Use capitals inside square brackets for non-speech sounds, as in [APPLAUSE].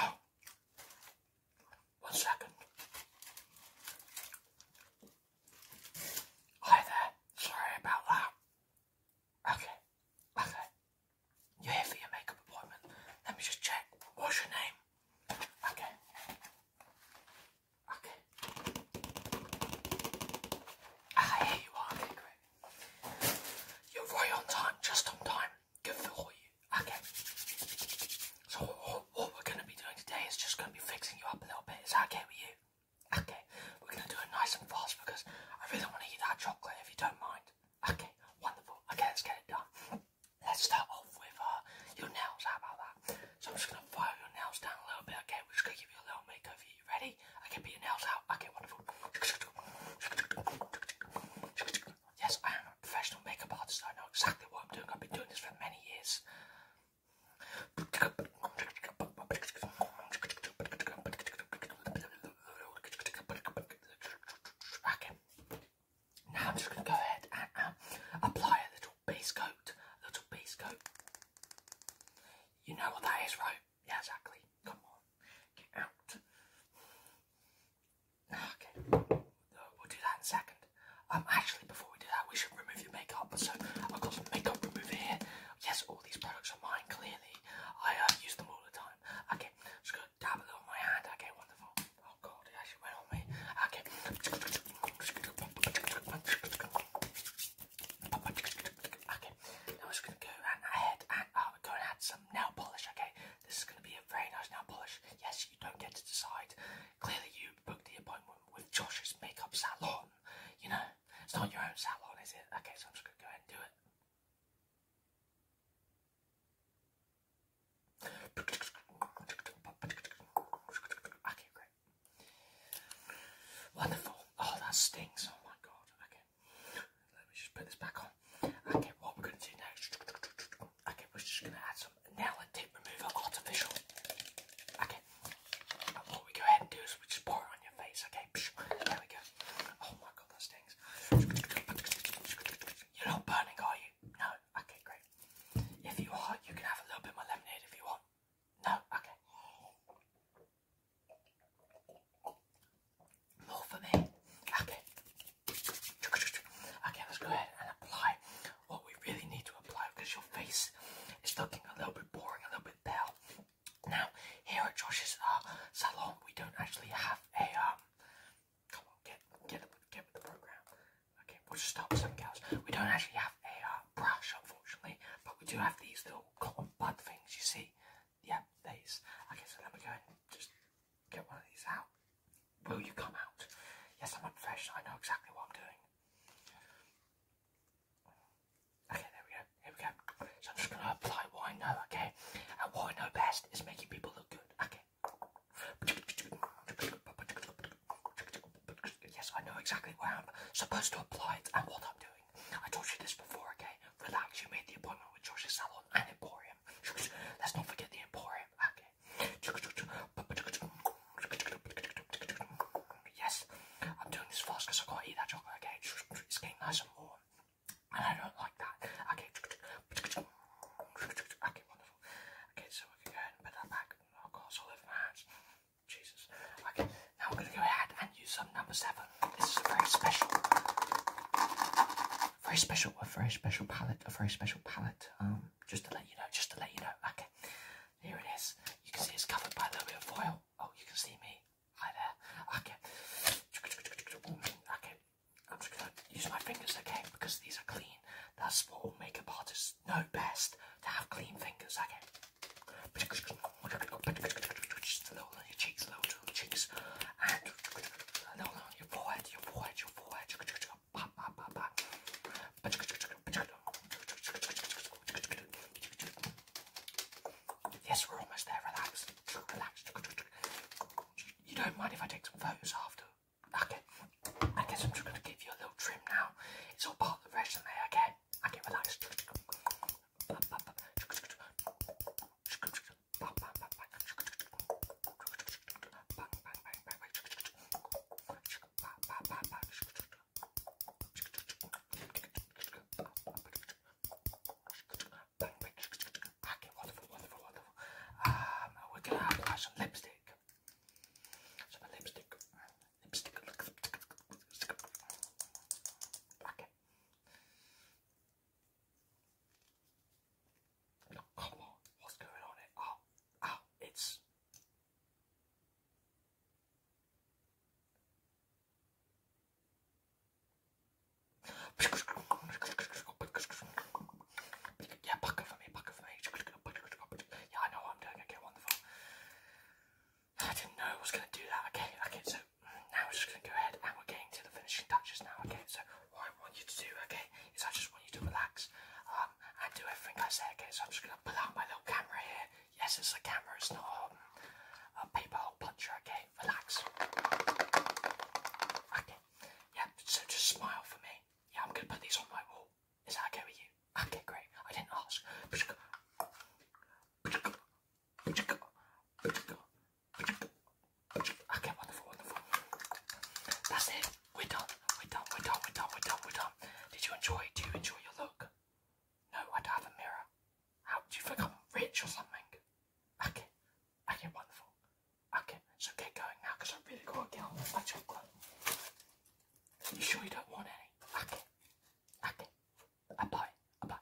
Oh, one second. Hi there. Sorry about that. Okay, okay. You're here for your makeup appointment. Let me just check. What's your name? Okay. Okay. Ah, here you are. You're right on time, just on time. Good for you. Okay. So what, we're going to be doing today is just going to be fixing you up a little bit. Is that okay with you? Okay. We're going to do it nice and fast because I really want to eat that chocolate if you don't mind. Okay. Wonderful. Okay, let's get it done. Let's start off with uh, your nails. How about that? So I'm just going to file your nails down a little bit. Okay, we're just going to give you a little makeover ready? I can beat nails out. Okay, wonderful. Yes, I am a professional makeup artist. I know exactly what I'm doing. I've been doing this for many years. Now I'm just going to go ahead and um, apply a little base coat. A little base coat. You know what that is, right? Yeah, exactly. Come on. Get out. Ah, okay. We'll do that in a second. Um, actually, before we do that, we should remove your makeup. So I've got some makeup remover here. Yes, all these products are mine, clearly. I uh, use them all the time. Okay, just gonna dab a on my hand. Okay, wonderful. Oh god, it actually went on me. Okay. Okay, I'm just gonna go around my head and uh, go and add some nail polish. Okay, this is gonna be a very nice nail polish. Yes, you don't get to decide. Clearly, you booked the appointment with Josh's makeup salon. You know, it's not your own salon, is it? Okay, so I'm just gonna go ahead and do it. Okay, Wonderful. Oh, that stinks. Oh my god. Okay. Let me just put this back on. Okay, what we're going to do next. Okay, we're just going to add some nail and remover artificial. Okay. what we go ahead and do is we just pour on your face. Okay. There we go. Oh my god, that stinks. You're not burning, are you? No. Okay, great. If you are, you can have a little bit more lemonade if you want. No, okay. More for me. Okay. Okay, let's go ahead and apply what we really need to apply because your face is looking a little bit boring, a little bit pale. Now, here at Josh's uh, salon, we don't actually have a um, Come on, get get get with the program. Okay, we'll just stop some cows. We don't actually have a uh, brush, unfortunately, but we do have these though little bud things you see. Yeah, these. Okay, so let me go and just get one of these out. Will you come out? Yes, I'm unprofessional. I know exactly what I'm doing. Okay, there we go. Here we go. So I'm just going to apply what I know, okay? And what I know best is making people look good, okay? Yes, I know exactly where I'm supposed to apply it and what I'm doing. I told you this before, okay? Relax, you made the appointment with George's Salon and Emporium. [LAUGHS] Let's not forget the Emporium, okay? Yes, I'm doing this fast because I gotta eat that chocolate, okay? It's getting nice and warm. And I don't like that. Okay. Okay, wonderful. Okay, so we can go ahead and put that back. Oh god, it's all over my hands. Jesus. Okay, now I'm going to go ahead and use some number seven. This is a very special, very special, a very special palette, a very special palette. Um, just to let you know, just to let you know. Okay, here it is. You can see it's covered by a little bit of foil. Oh, you can see me. Hi there. Okay. Okay, I'm just going to use my fingers, again because these are clean. That's what all makeup artists just know best to have clean fingers, okay? Just a little on your cheeks, a little on your cheeks, and a little on your forehead, your forehead, your forehead. Yes, we're almost there. Relax, relax. You don't mind if I take some photos after? Okay. I I'm just going to give you a little trim now. It's all part of the resume, okay? I can relax. Okay, wonderful, wonderful, wonderful. Um, we're gonna apply some lipstick. Some lipstick. Okay. Oh, come on, what's going on here? Oh, oh, it's. Yeah, bucket for me, bucket for me. Yeah, I know what I'm doing. Okay, wonderful. I didn't know I was going to do that. Okay, okay, so now we're just going to go ahead and we're getting to the finishing touches now. Okay, so what I want you to do, okay, is I just want you to relax um, and do everything I say. Okay, so I'm just going to pull out my little camera here. Yes, it's a camera, it's not a paper hole puncher. Okay, relax. Okay, yeah, so just smile for me. Yeah, I'm going to put these on my wall cool. Is that okay with you? Okay, great. I didn't ask. Okay, wonderful, wonderful. That's it. We're done. We're done. We're done. We're done. We're done. We're done. Did you enjoy? Do you enjoy your look? No, I don't have a mirror. How do you think I'm rich or something? Okay. Okay, wonderful. Okay, so get going now because I really got to get on with my chocolate. You sure you don't want any? Okay. Okay. I buy. I buy.